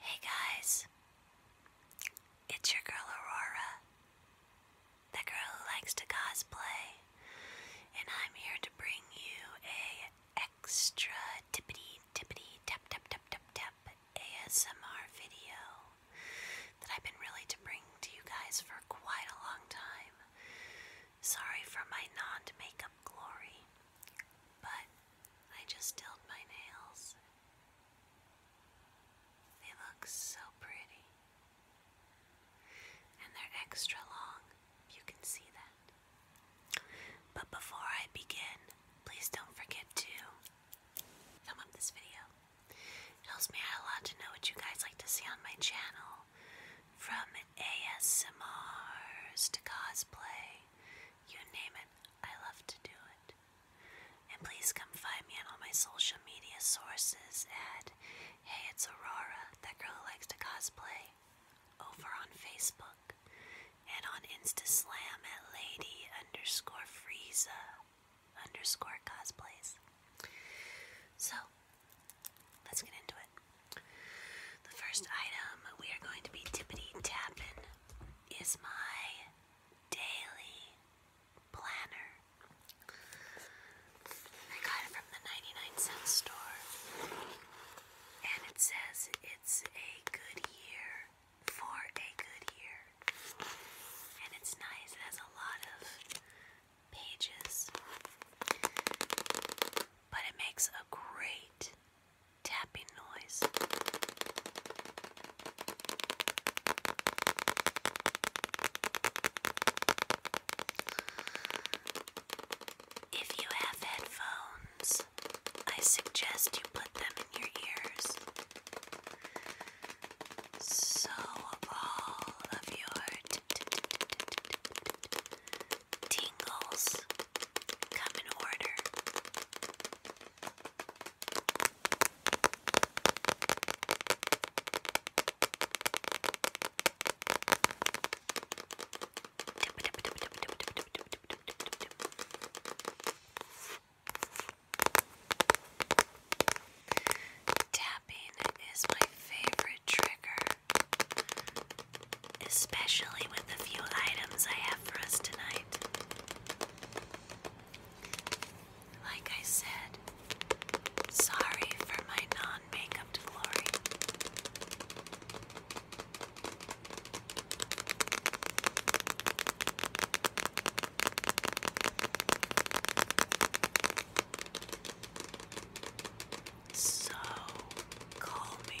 Hey guys, it's your girl Aurora, the girl who likes to cosplay, and I'm here to bring you a extra tippity tippity tap tap tap tap ASMR video that I've been really to bring to you guys for quite a long time. Sorry for my non makeup glory, but I just tilt my nails. They look so pretty. And they're extra long. You can see that. But before I begin, please don't forget to thumb up this video. It helps me a lot to know what you guys like to see on my channel. From ASMRs to cosplay you name it, I love to do it. And please come find me on all my social media sources at Hey It's Aurora, that girl who likes to cosplay, over on Facebook, and on Instaslam at Lady underscore Frieza underscore cosplays. So, let's get into it. The first item we are going to be tippity tapping is my daily planner. I got it from the 99 cent store. And it says it's a good year for a good year. And it's nice, it has a lot of pages. But it makes a great tapping noise. If you have headphones, I suggest you put them in your ears so all of your tingles come in order. Tapping is my favorite trigger. Especially with the few items I have for us tonight. Like I said, sorry for my non makeup glory so calming.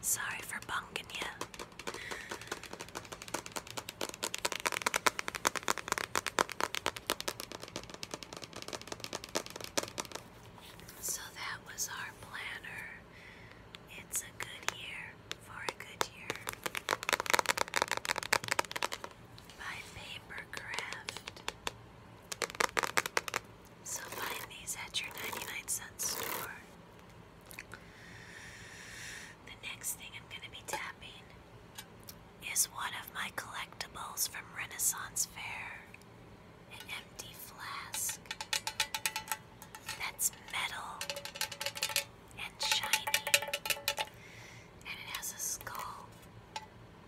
Sorry for bunking you. So that was our planner. It's a good year for a good year. By Papercraft. So find these at your 99 cent store. The next thing I'm going to be tapping is one of my collectibles from Renaissance Fair an empty flask that's metal and shiny, and it has a skull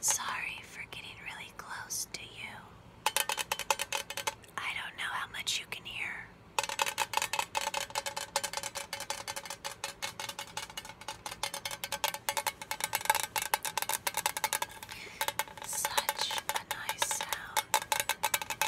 Sorry for getting really close to you. I don't know how much you can hear. Such a nice sound.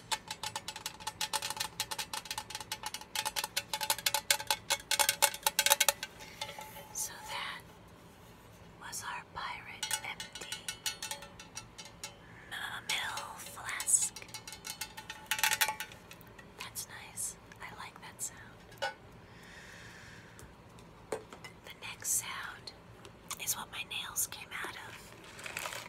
So that was our pirate empty middle flask. That's nice. I like that sound. The next sound is what my nails came out of.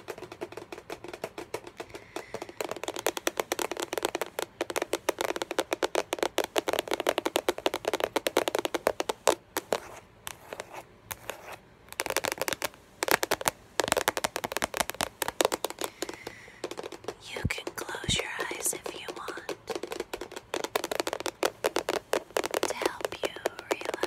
You can close your eyes if you want to help you relax.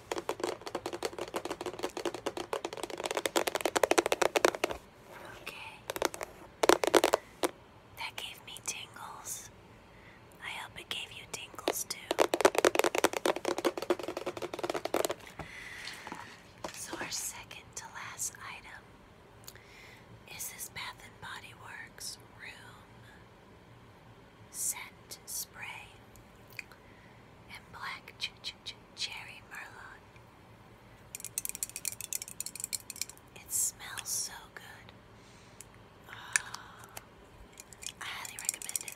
Okay. That gave me tingles. I hope it gave you tingles too. So, our second to last item is this Bath and Body Works Room scent spray, and black cherry merlot. It smells so good. Ah, I highly recommend it.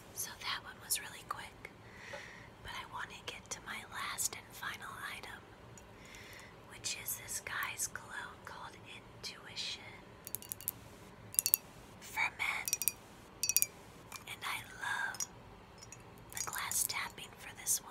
So that one was really quick. But I want to get to my last and final item, which is this guy's glow called Intuition for Men. And I love the glass tapping for this one.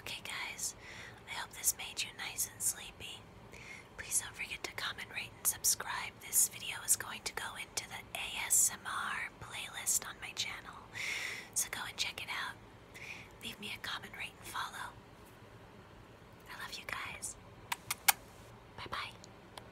Okay, guys, I hope this made you nice and sleepy. Please don't forget to comment, rate, and subscribe. This video is going to go into the ASMR playlist on my channel, so go and check it out. Leave me a comment, rate, and follow. I love you guys. Bye bye.